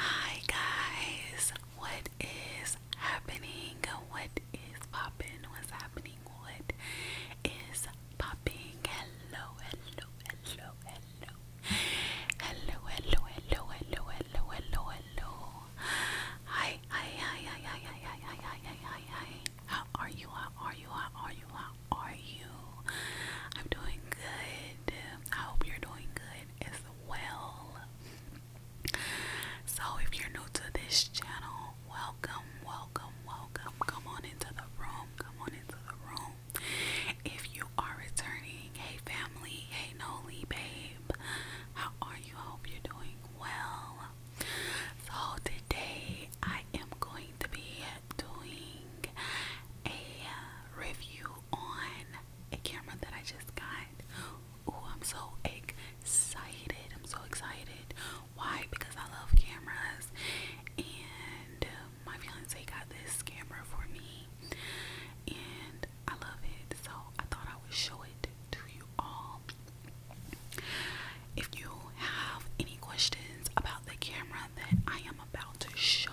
Hi guys, what is happening? What is popping? What's happening? What is popping? Hello, hello, hello, hello, hello, hello, hello, hello, hello, hello, hello. Hi, hi, hi, hi, hi, hi, hi, hi, hi, hi, hi, hi. How are you? How are you? How are you? How are you? I'm doing good. I hope you're doing good as well. So, if you're new to this channel, welcome, welcome, welcome. Come on into the room, come on into the room. If you are returning, hey family, hey Nolly, babe, how are you? I hope you're doing well. So, today I am going to be doing a review on a camera that I just got. Ooh, I'm so excited. I'm so excited. Why? Because I love cameras. And uh, my fiance got this camera for me. And I love it. So I thought I would show it to you all. If you have any questions about the camera that I am about to show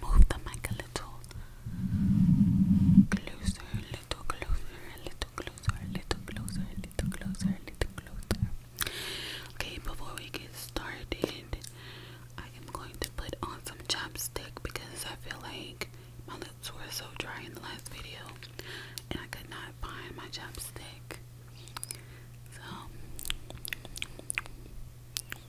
Move the mic a little closer, a little closer, a little closer, a little closer, a little closer, a little closer. Okay, before we get started, I am going to put on some chapstick because I feel like my lips were so dry in the last video and I could not find my chapstick. So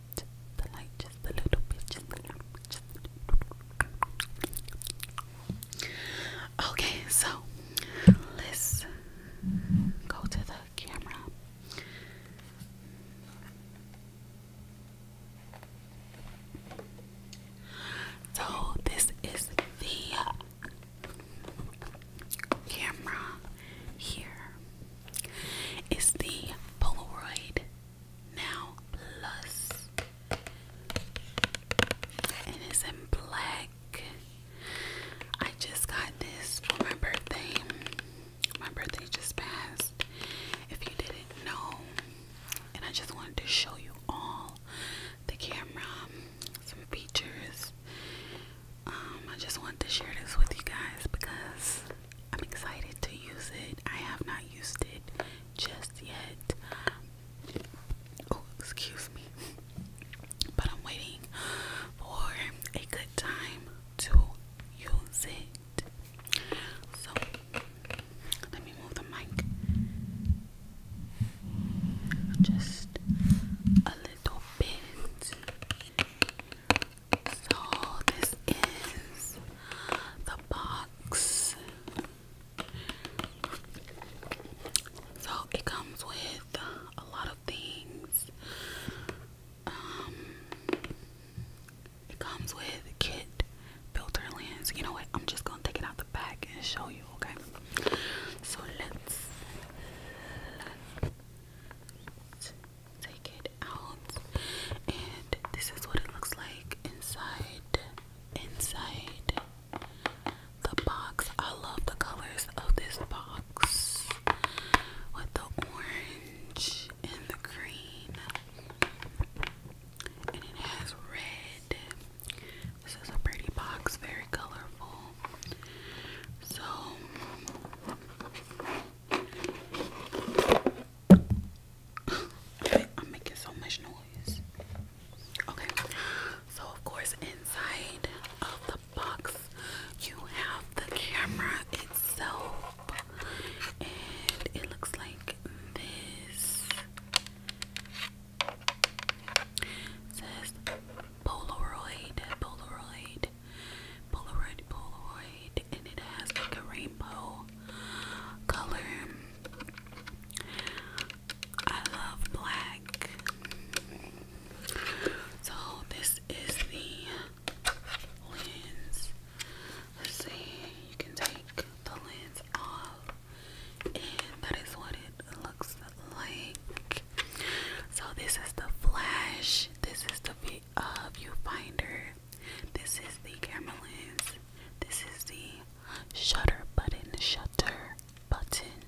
light, the light, just a little bit, just Okay, so let's go to the camera. So this is the camera here. the Polaroid now Plus. it's in black. I just got this for my birthday. My birthday just passed. If you didn't know, and I just wanted to show you all the camera, some features. Um, I just wanted to share this with you guys because I'm excited to use it. I have not used it just yet. Oh, excuse me. But I'm waiting for a good time to use it. So, let me move the mic just a little bit. So this is the box. So it comes with a lot of things. Um, it comes with kit filter lens. You know what? I'm just gonna take it out the back and show you. Okay. So let's take it out and this is what it looks like inside inside the box I love the colors of this box with the orange and the green and it has red this is a pretty box very colorful so I'm making so much noise. Okay, so of course, inside of the box, you have the camera itself, and it looks like this says Polaroid, Polaroid, Polaroid, Polaroid, and it has like a rainbow color. I love black. So this is the lens. let you can take the lens off, and that is what it looks like. So this is the flash. This is the uh, viewfinder. This is the camera lens. This is the shutter button. Shutter button.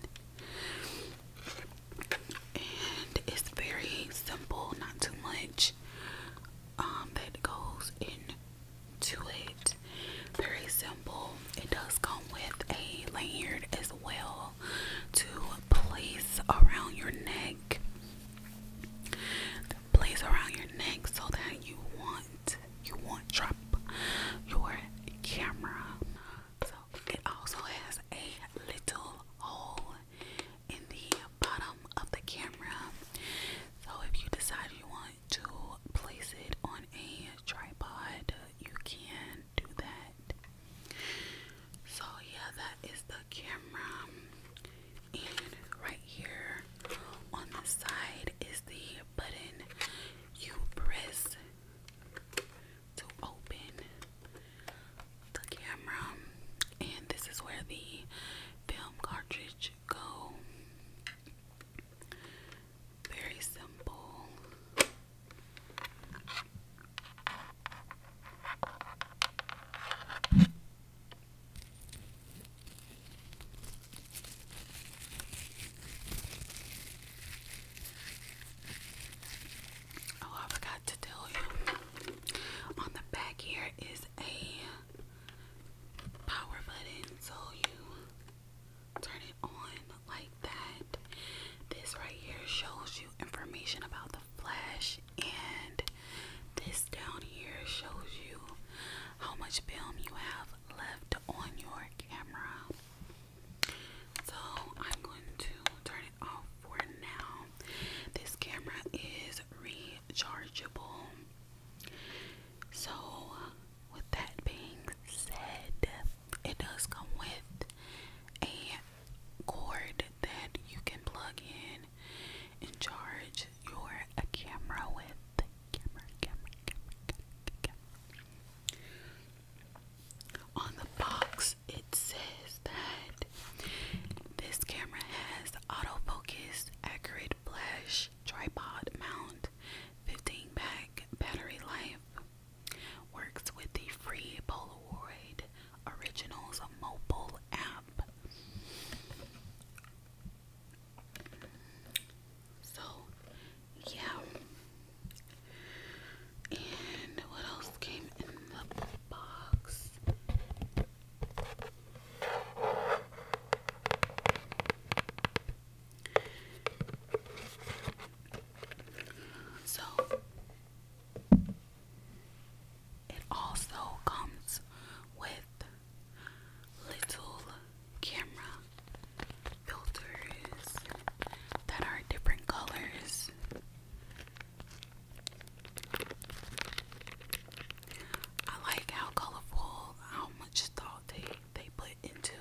And it's very simple, not too much um, that goes into it. Very simple. It does come with a lanyard as well to place around your neck place around your neck so that you want you won't drop your camera. So it also has a little hole in the bottom of the camera. So if you decide you want to place it on a tripod, you can do that. So yeah, that is the camera and right here on the side is the button you press to open the camera and this is where the film cartridge go very simple Oh, I forgot to tell you. On the back here is a power button, so you turn it on like that. This right here shows you information about the flash and this down here shows you how much film you have left on your camera. So I'm going to turn it off for now. This camera is rechargeable. So with that being said, it does come with a cord that you can plug in charge you a camera with camera camera camera camera, camera. on the box it says that this camera has autofocus accurate flash tripod mount 15 pack battery life works with the free polaroid Originals mobile app. So, yeah. And what else came in the box? So, it also comes with little camera filters that are different colors. I like how colorful, how much thought they, they put into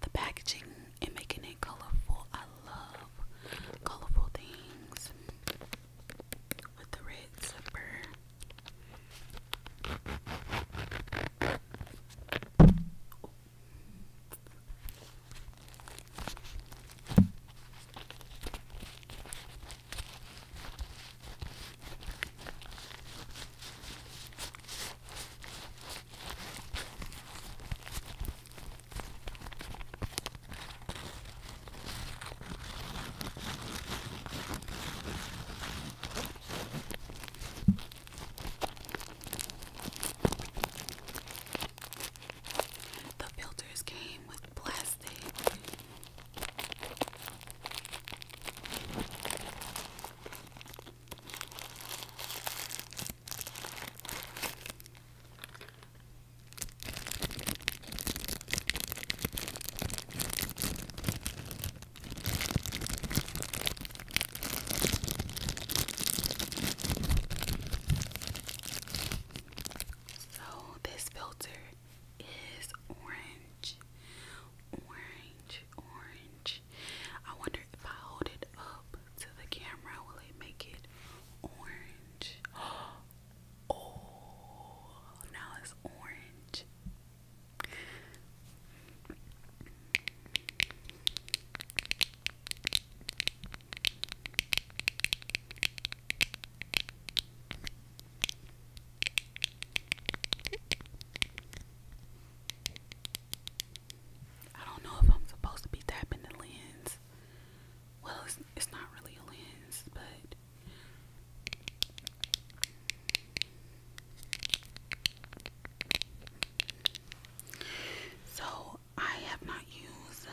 the packaging and making it colorful. I love colorful things with the red zipper. The filters came with plastic. So this filter is orange, orange, orange. I wonder if I hold it up to the camera, will it make it orange? Oh, now it's orange. I don't know if I'm supposed to be tapping the lens well, it's, not really a lens, but so I have not used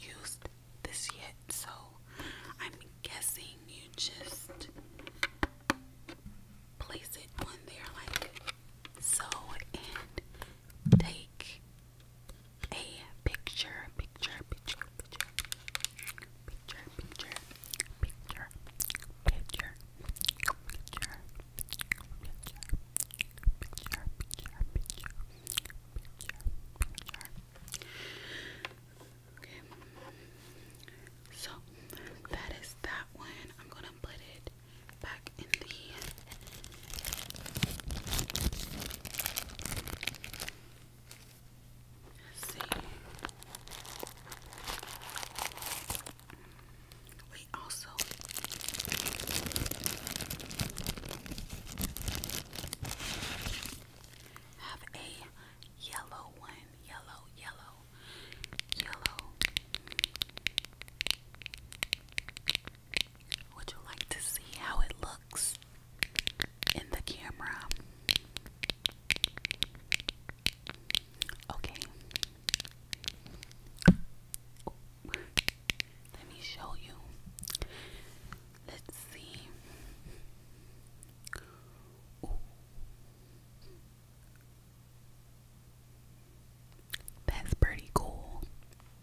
used this yet, so I'm guessing you just place it on there like so and take a picture, picture, picture, picture, picture, picture, picture, picture, picture, picture, picture, picture, picture, picture. Okay. So that is that one. I'm gonna put it back in the Let's see. We also have a yellow one. Yellow, yellow, yellow. Would you like to see how it looks in the camera? Okay. Let me show you. Let's see. That's pretty cool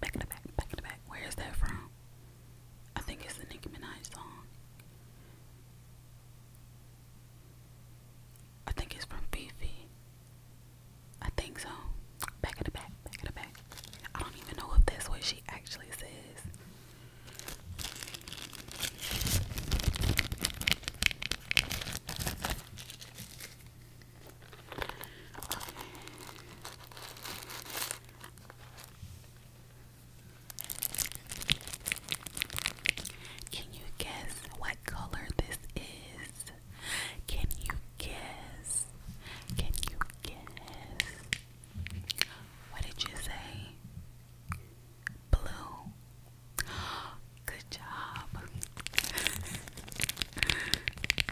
back, in the back, back in the back. Where is that from? I think it's the Nicki Minaj song. I think it's from Beefy. I think so. Back in the back, back in the back. I don't even know if that's what she actually says. Can you guess what color this is? Can you guess? Can you guess? What did you say? Blue. Good job.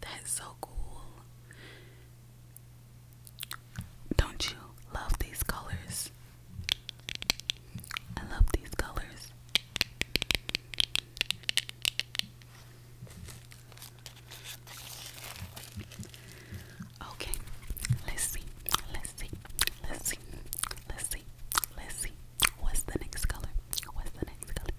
That's so cool. Don't you love these colors? I love these colors. Okay, let's see, let's see, let's see, let's see, let's see. What's the next color? What's the next color?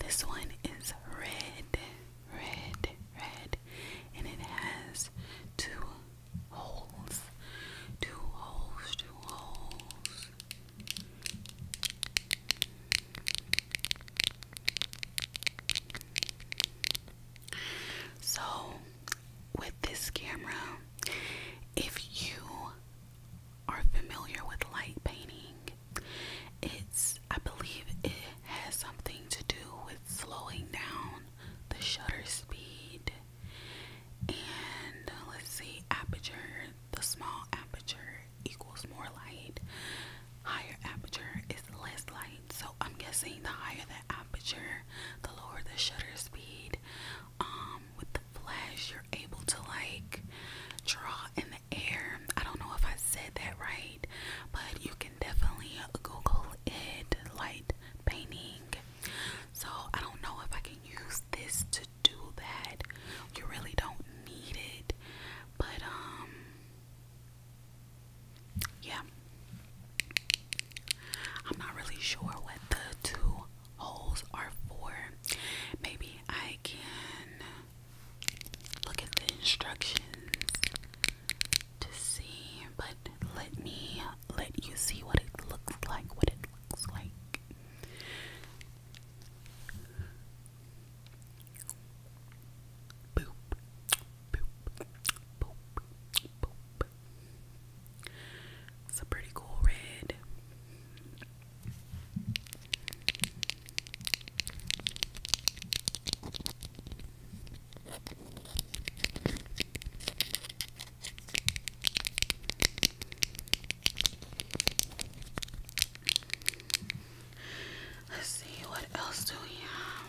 This one is red, red, red, and it has two holes, two holes, two holes. So, with this camera, if you are familiar with light painting, it's, I believe, it has something to do with slowing down the shutter speed. And uh, let's see, aperture, the small aperture equals more light, higher aperture is less light. So I'm guessing the higher the aperture, the lower the shutter speed. Um, with the flash, you're able to like draw in the air. I don't know if I said that right, but you can definitely Google it light painting. So I don't know if I can use this to do that. You really don't need it, but um, yeah, I'm not really sure what the two holes are for. Maybe I can look at the instructions to see, but let me let you see what it looks like, what it looks like. Boop, boop, boop, boop. It's a pretty cool red. Let's see what else do we have.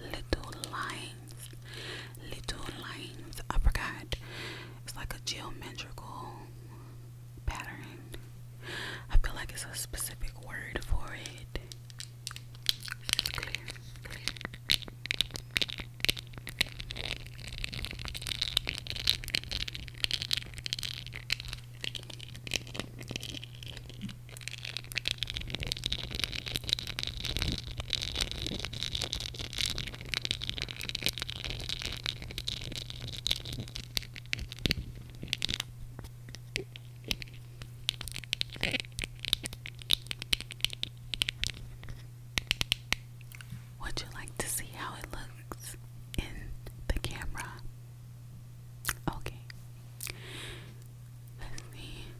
little lines, little lines. I forgot. It's like a geometrical pattern. I feel like it's a specific word for it. Would you like to see how it looks in the camera? Okay. Let's see.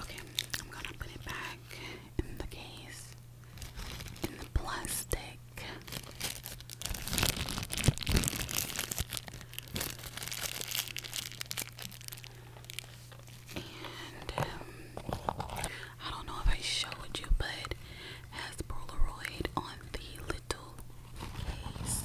Okay, I'm gonna put it back in the case in the plastic. And um, I don't know if I showed you, but has Polaroid on the little case.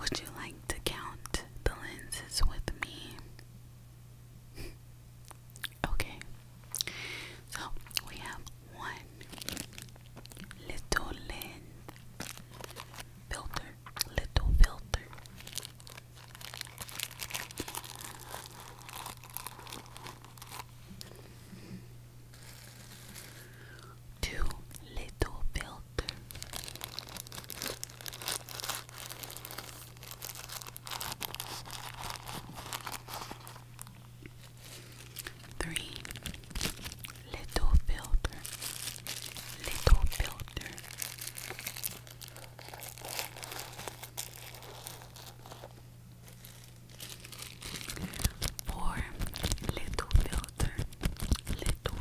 Would you like to count the lenses with me? okay. So we have one little lens filter, little filter. Two little filters. Three little filter, little filter. Four little filter little bit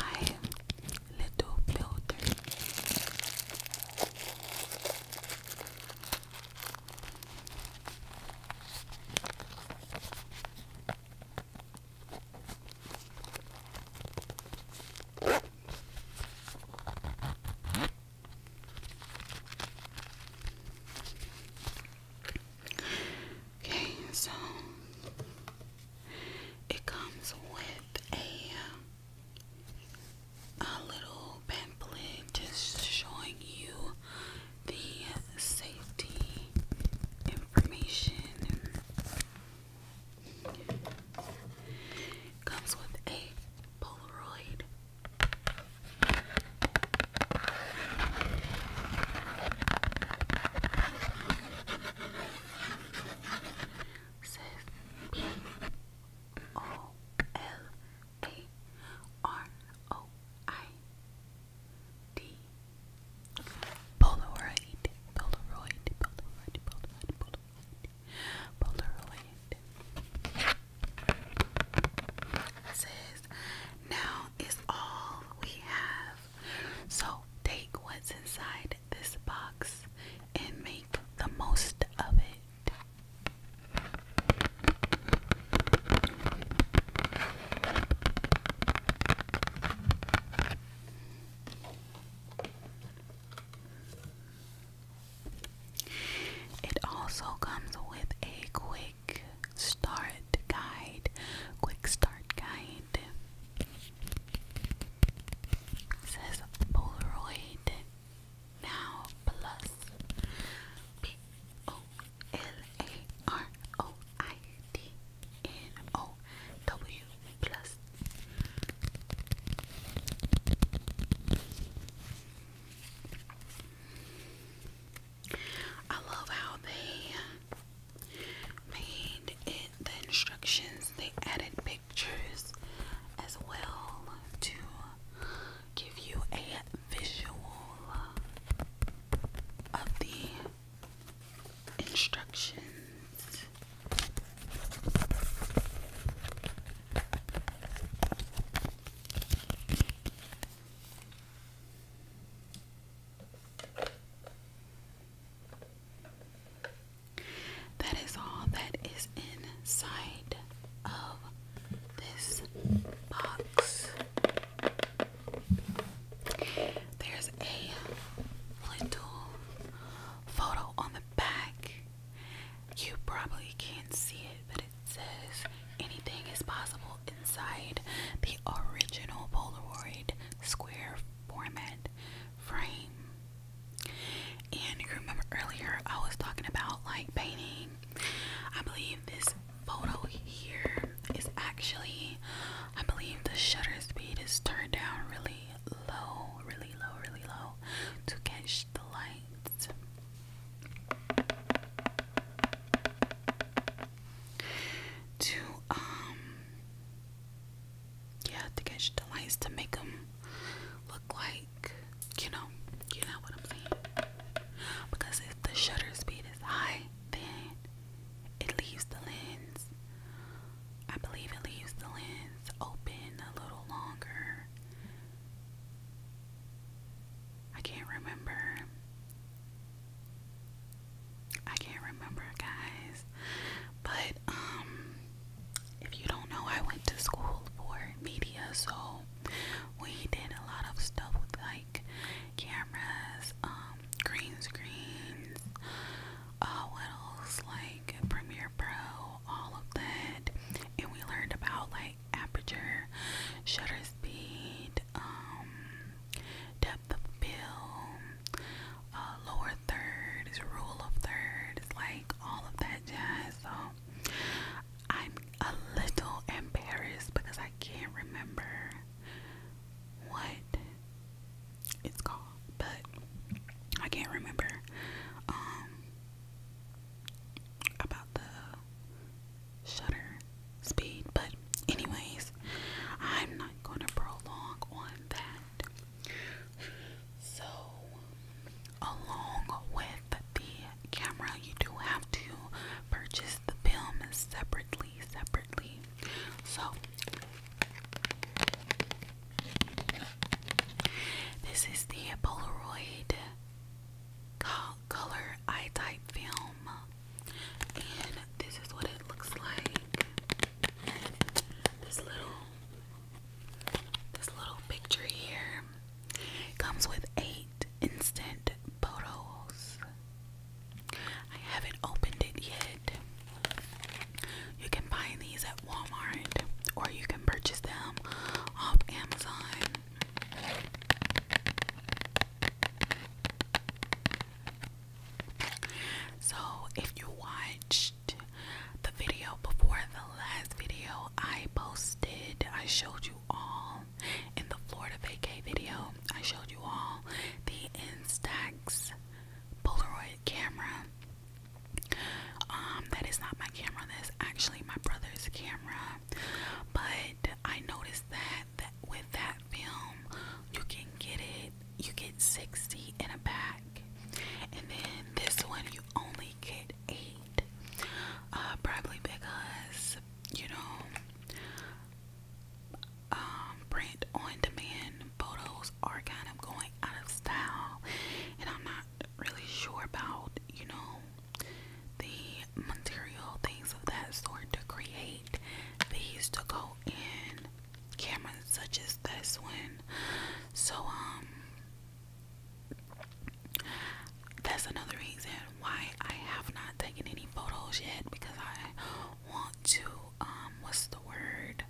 my little filter Okay, so it comes with a a little pamphlet just showing you the safety information comes with a Polaroid. Says P O L A R O I D. Polaroid, Polaroid, Polaroid, Polaroid, Polaroid, Polaroid. says, now is all we have. So take what's inside this box and make the most of it. It also comes with a quick start guide. Quick start guide says Polaroid now plus L-A-R-O-I-D-N-O-W plus. I love how they made it the instructions, they added pictures as well to give you a visual of the instructions. That is all that is inside of this box. There's a little photo on the back. You probably can't see it, but it says anything is possible inside the original Polaroid square format frame. And remember earlier I was talking about like painting. I believe this photo here is actually, I believe the shutter speed is turned down really low, really low, really low to catch the lights. To, um, yeah, to catch the lights to make them look like, you know, you know what I'm saying. Because if the shutter speed is high, then it leaves the lens, I believe it leaves the lens open a little longer. I can't remember. I can't remember, guys. But, um, if you don't know, I went to school for media, so we did a lot of stuff with, like, cameras, um, green screens, uh, what like Premiere Pro, all of that. And we learned about like aperture, shutter speed, um, depth of field, uh, lower thirds, rule of thirds, like all of that jazz. So I'm a little embarrassed because I can't remember what it's called, but I can't remember um, about the shutter speed, but anyways, I'm not going to prolong on that. So, along with the camera, you do have to purchase the film separately so, this is the Polaroid color eye type film, and this is what it looks like. This little, this little picture here comes with eight instant photos. I haven't opened it yet. You can find these at Walmart or you can purchase them off Amazon. So, if you watched the video before the last video I posted, I showed you all in the Florida vacay video, I showed you all the Instax Polaroid camera. Um, that is not my camera, that's actually my brother's camera. But I noticed that, with that film, you can get it, you get 60 in a pack, And then this one, you only get eight. Uh, probably because, you know, um, print on demand photos are kind of going out of style, and I'm not really sure about you know the material things of that sort to create these to go in cameras such as this one. So, um, that's another reason why I have not taken any photos yet because I want to um what's the word?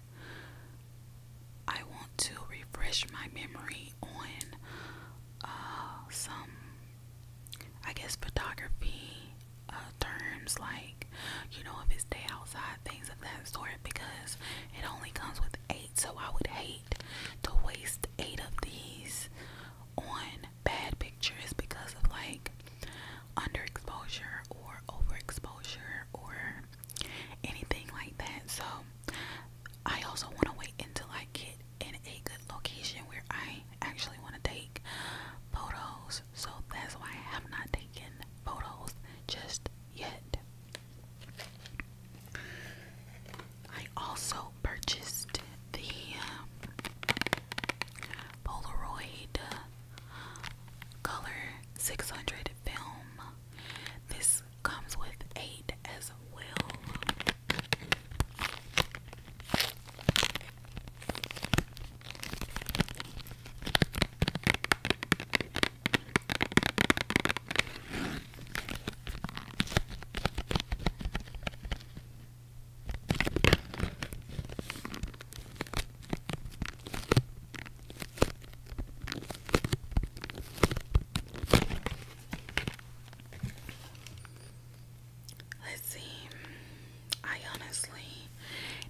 I want to refresh my memory on uh, some I guess photography uh, terms like you know if it's day outside things of that sort because it only comes with eight so I would hate to waste eight of these on bad pictures because of like underexposure or overexposure or anything like that. So I also want to wait until I get in a good location where I actually want to take photos. So that's why I have not taken photos just yet. I also purchased the um, Polaroid uh, Color 600 film. This comes with eight as well. Let's see. I honestly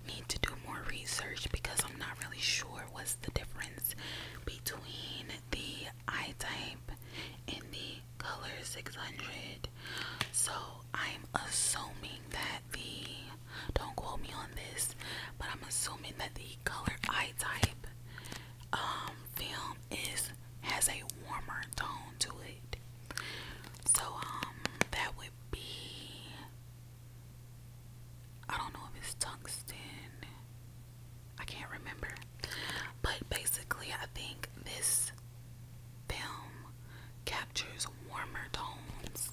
need to do more research because I'm not really sure what's the difference between the eye type and the color 600 so i'm assuming that the don't quote me on this but i'm assuming that the color eye type um, film is has a warmer tone to it so um that would be i don't know if it's tungsten i can't remember but basically i think this film captures warmer tones.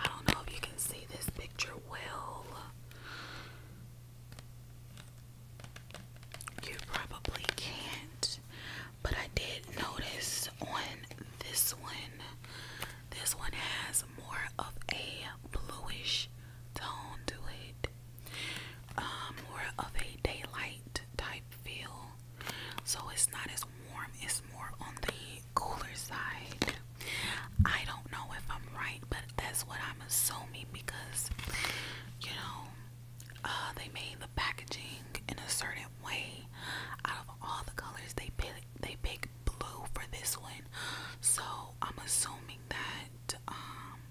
I don't know if you can see this picture well. You probably can't, but I did notice on this one, this one has more of a bluish tone to it. Um, more of a daylight type feel. So it's not as warm, it's more on the cooler side. I don't know if I'm right, but that's what I'm assuming because you know, uh, they made the packaging in a certain way. Out of all the colors, they pick they pick blue for this one, so I'm assuming that um,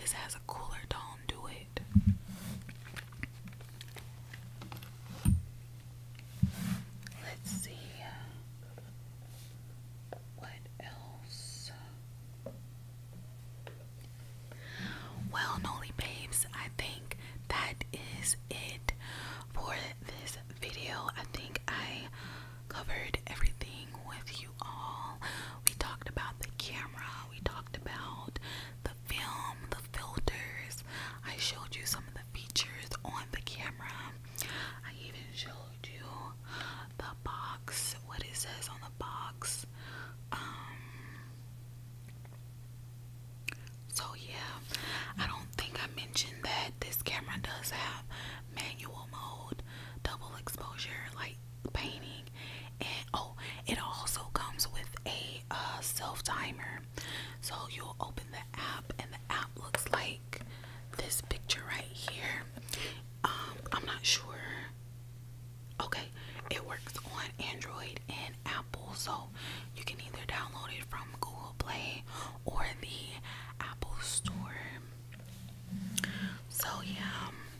this has a cooler tone to it. Let's see what else. Well, Nolly Babes, I think that is it for this video. I think I covered everything with all. We talked about the camera, we talked about the film, the filters. I showed you some of the features on the camera. I even showed you the box, what it says on the box. Um, so yeah, I don't think I mentioned that this camera does have manual mode, double exposure, like painting and oh it also comes with a uh, self timer so you'll open the app and the app looks like this picture right here um I'm not sure okay it works on Android and Apple so you can either download it from Google Play or the Apple Store so yeah um,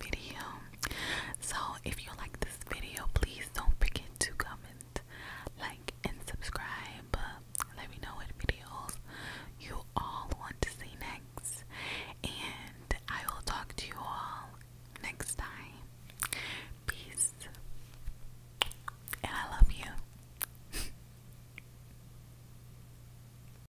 video. So if you like this video, please don't forget to comment, like, and subscribe. Let me know what videos you all want to see next. And I will talk to you all next time. Peace. And I love you.